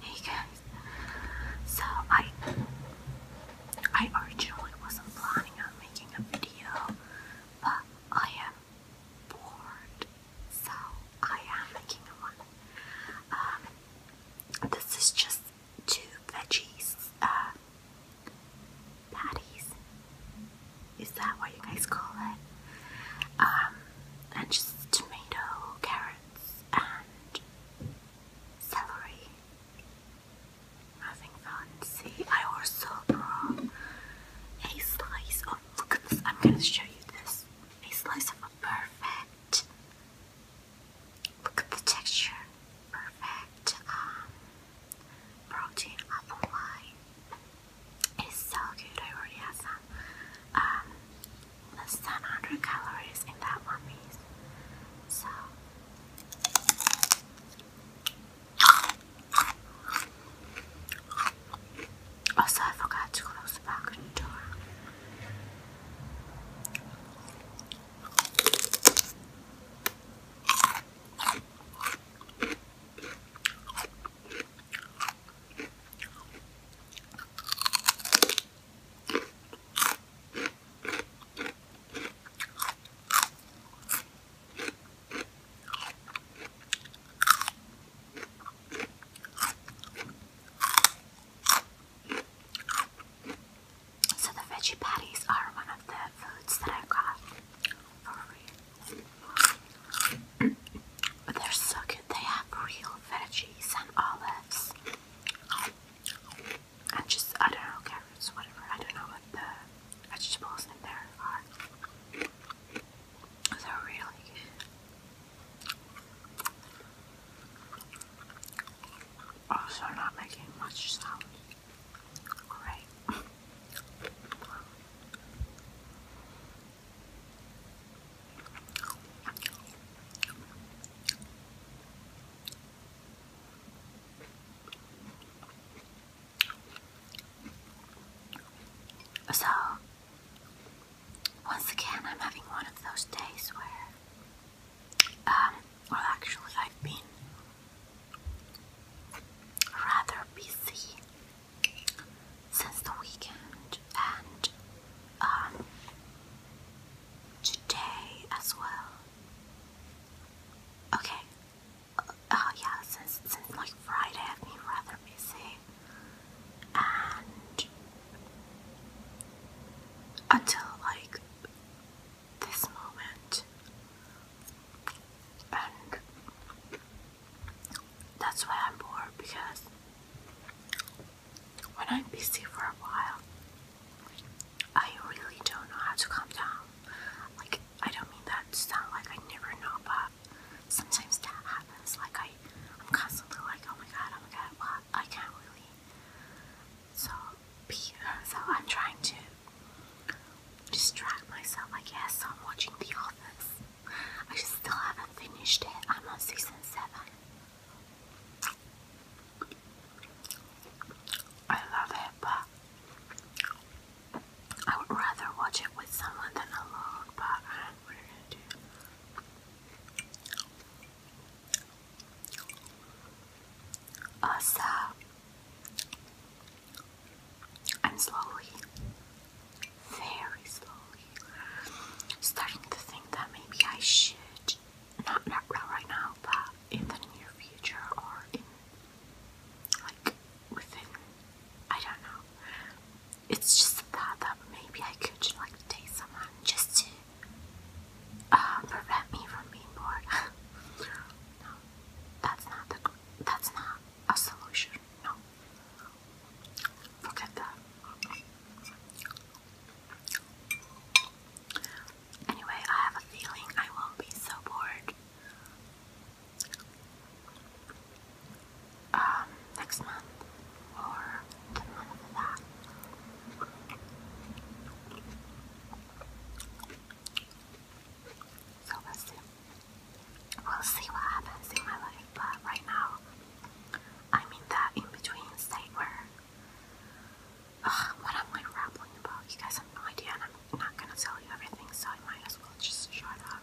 Hey guys, so I I originally wasn't planning on making a video, but I am bored, so I am making one. Um, this is just two veggies, uh, patties. Is that what you guys call it? Um, and just tomato, carrot and celery. Nothing fancy. I also brought a slice of I'm gonna show you this. A slice of a perfect look at the texture. Perfect um protein apple pie. It's so good. I already had some um, less calories in that one piece. Also, I forgot to close the balcony door. So the veggie patties are one of the foods that i got they're so good. They have real veggies and olives. And just, I don't know, carrots, whatever. I don't know what the vegetables in there are. They're really Also, not making much sound. Great. So, once again, I'm having one of those days where, um, well, actually, I've been rather busy since the weekend and um, today as well. Okay. Oh yeah, since since like Friday I've been rather busy, and until like this moment, and that's why I'm bored because when I'm busy for a while, I really don't know how to calm down. Like, I don't mean that sounds like I never know, but sometimes that happens. Like, I, I'm constantly like, oh my god, oh my god, what? I can't really. So, uh, so I'm trying to distract myself, I guess. I'm watching The Office. I just still haven't finished it. I'm on season seven. I love it, but I would rather watch it with someone than alone. But what I'm gonna do. Also, I'm slowly very slowly, starting to think that maybe I should not not right now, but in the near future or like within I don't know. It's just that that maybe I could like date someone just to uh, prevent me from being bored. no, that's not the that's not a solution. No, Look at that. Anyway, I have a feeling I will be so bored um, next month or the month of that. So let's see. We'll see what happens in my life, but right now I'm that in between state where what am I rambling about? You guys have no idea, and I'm not gonna tell you everything, so I might as well just shut up.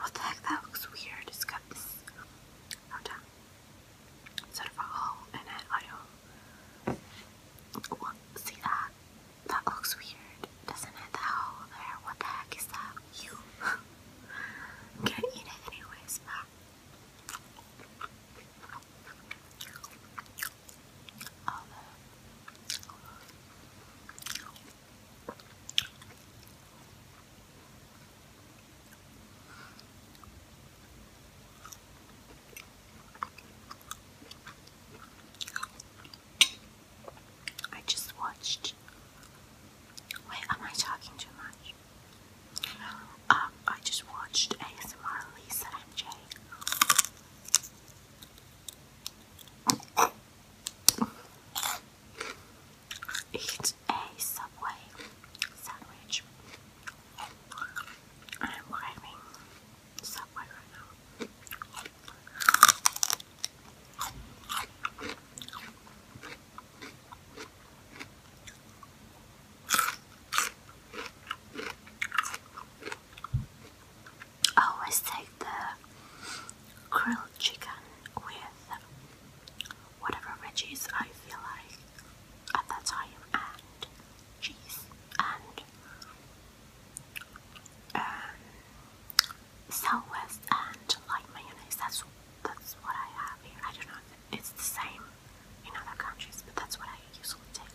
What the heck? That looks weird. It's got this Hold on. Sort of a hole in it. I don't. Well, see that? That looks weird, doesn't it? That hole there. What the heck is that? You. I'm gonna eat it anyways, but. All oh, the I just watched. Wait, am I talking too much? Um, I just watched ASMR Lisa and Jay eat a Subway sandwich. I'm craving Subway right now. I oh, always take the grilled chicken with whatever veggies I feel like at that time, and cheese and um, southwest and like mayonnaise. That's that's what I have here. I don't know if it's the same in other countries, but that's what I usually take.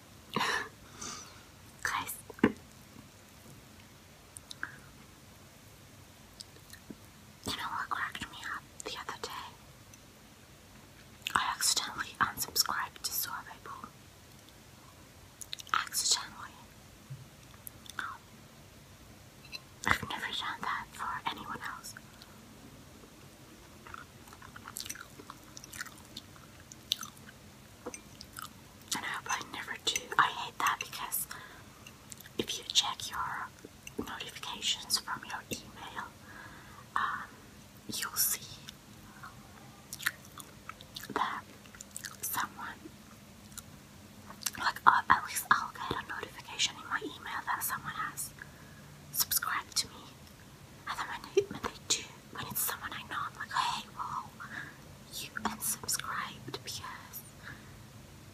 guys you cracked me up the other day I accidentally unsubscribed to Sorbet Pool accidentally I've never done that for anyone else and I hope I never do. I hate that because if you check your notifications from your email, um, you'll see that someone, like uh, at least I'll get a notification in my email that someone has subscribed to me and then when, it, when they do, when it's someone I know, I'm like, hey, well, you unsubscribed because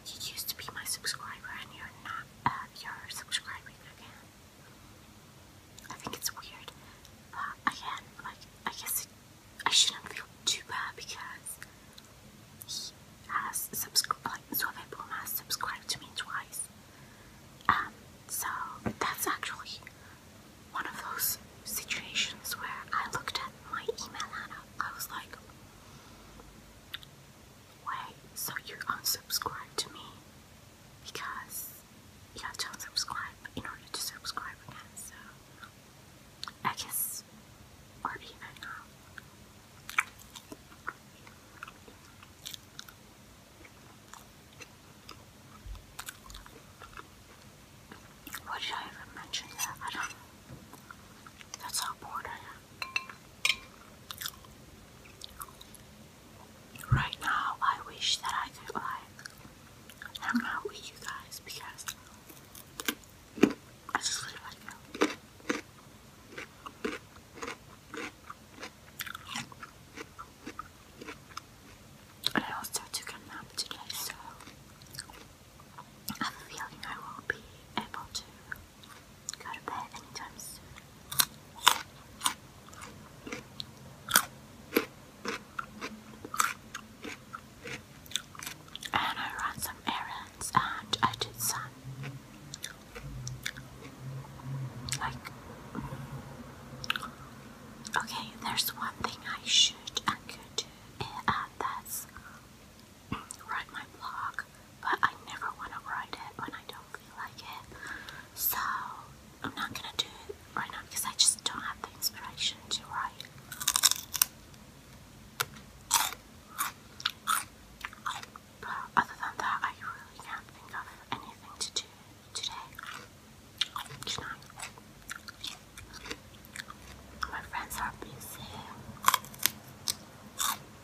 you used to be my subscriber and you're not, uh, you're subscribing again. I think it's weird, but again, like, I guess I shouldn't feel too bad because he has subscribed, like, Suave Boom has subscribed to me twice. Um, so that's actually one of those situations where I looked at my email and I was like, wait, so you unsubscribed to me because you have to unsubscribe in order to subscribe again, so I guess already you what did I even mention yet? I don't know. That's how bored Right now, I wish that I could like hang out with you guys because I just really like you. I also took a nap today, so I am feeling I won't be able to go to bed anytime soon. And I ran some errands and I did some okay, there's one thing I should and could do, uh, that's write my blog, but I never want to write it when I don't feel like it. So, I'm not gonna do it right now because I just don't have the inspiration to write. But other than that, I really can't think of anything to do today, tonight. My friends are busy.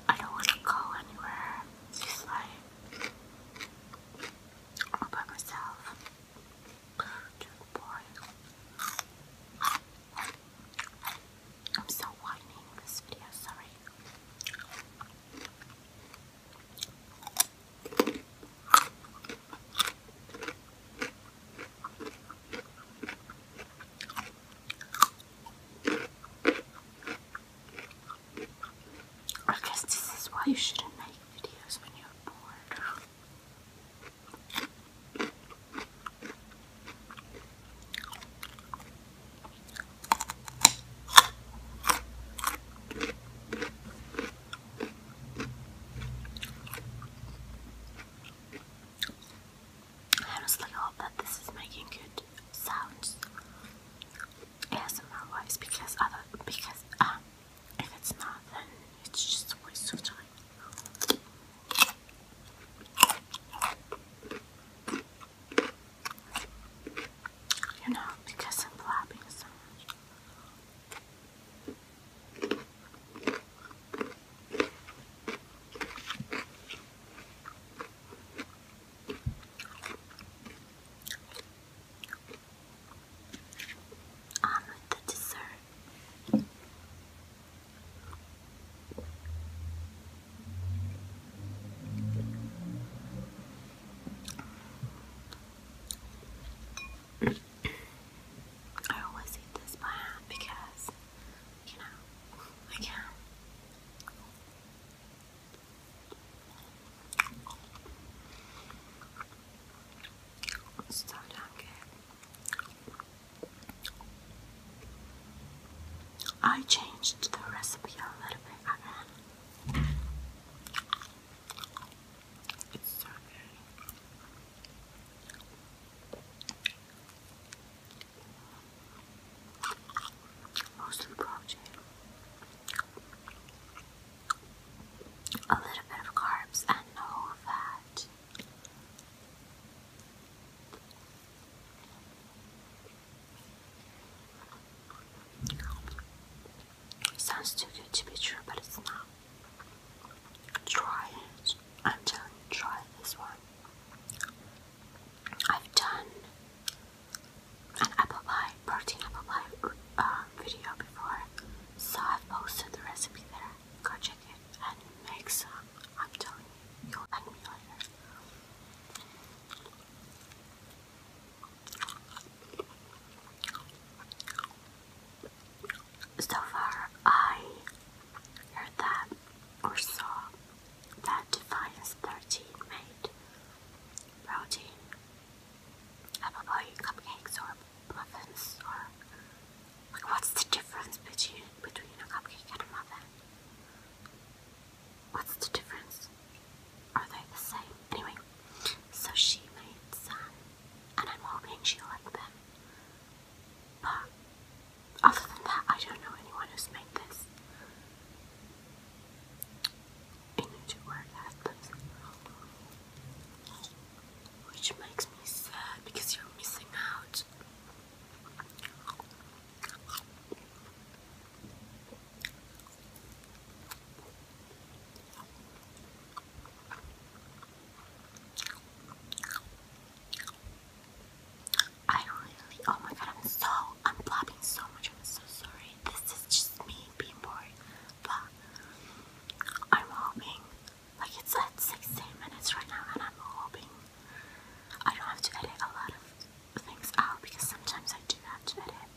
I don't want to go anywhere. It's like all by myself. Too boring. I'm still whining this video, sorry. I guess this is why you shouldn't make videos when you're bored. I honestly hope that this is making good sounds ASMR wise because other because um if it's not then it's just a waste of time. You know, because I'm flopping so much. On with the dessert. I always eat this by because, you know, I can. so damn good. I changed the recipe a little bit again. It's so Mostly protein. A little bit of carbs and no fat. Sounds too good to be true, but it's not. Try it. I'm telling you, try this one. I've done an apple pie, protein apple pie uh, video before, so I've posted the recipe there. Go check it and make some. I'm telling you, you'll thank me later. So far, I heard that or saw that Defiance 13 made protein, apple pie, cupcakes, or muffins, or like what's the difference between between a cupcake and a muffin? What's the difference? Are they the same? Anyway, so she made some, and I'm hoping she'll them. But other than that, I don't know anyone who's made this. I need to wear Which makes me sad because you're missing out. I really, oh my god, I'm so, I'm blobbing so much, I'm so sorry. This is just me being bored, but I'm hoping, like it's at 16 minutes right now, and I'm hoping I don't have to edit a lot of things out because sometimes I do have to edit.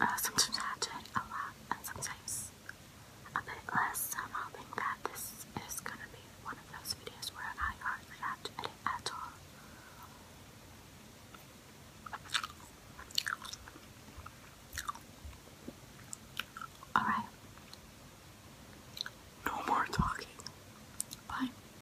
Uh, sometimes I have to edit a lot, and sometimes a bit less. I'm hoping that this is gonna be one of those videos where I hardly have to edit at all. Alright. No more talking. Bye.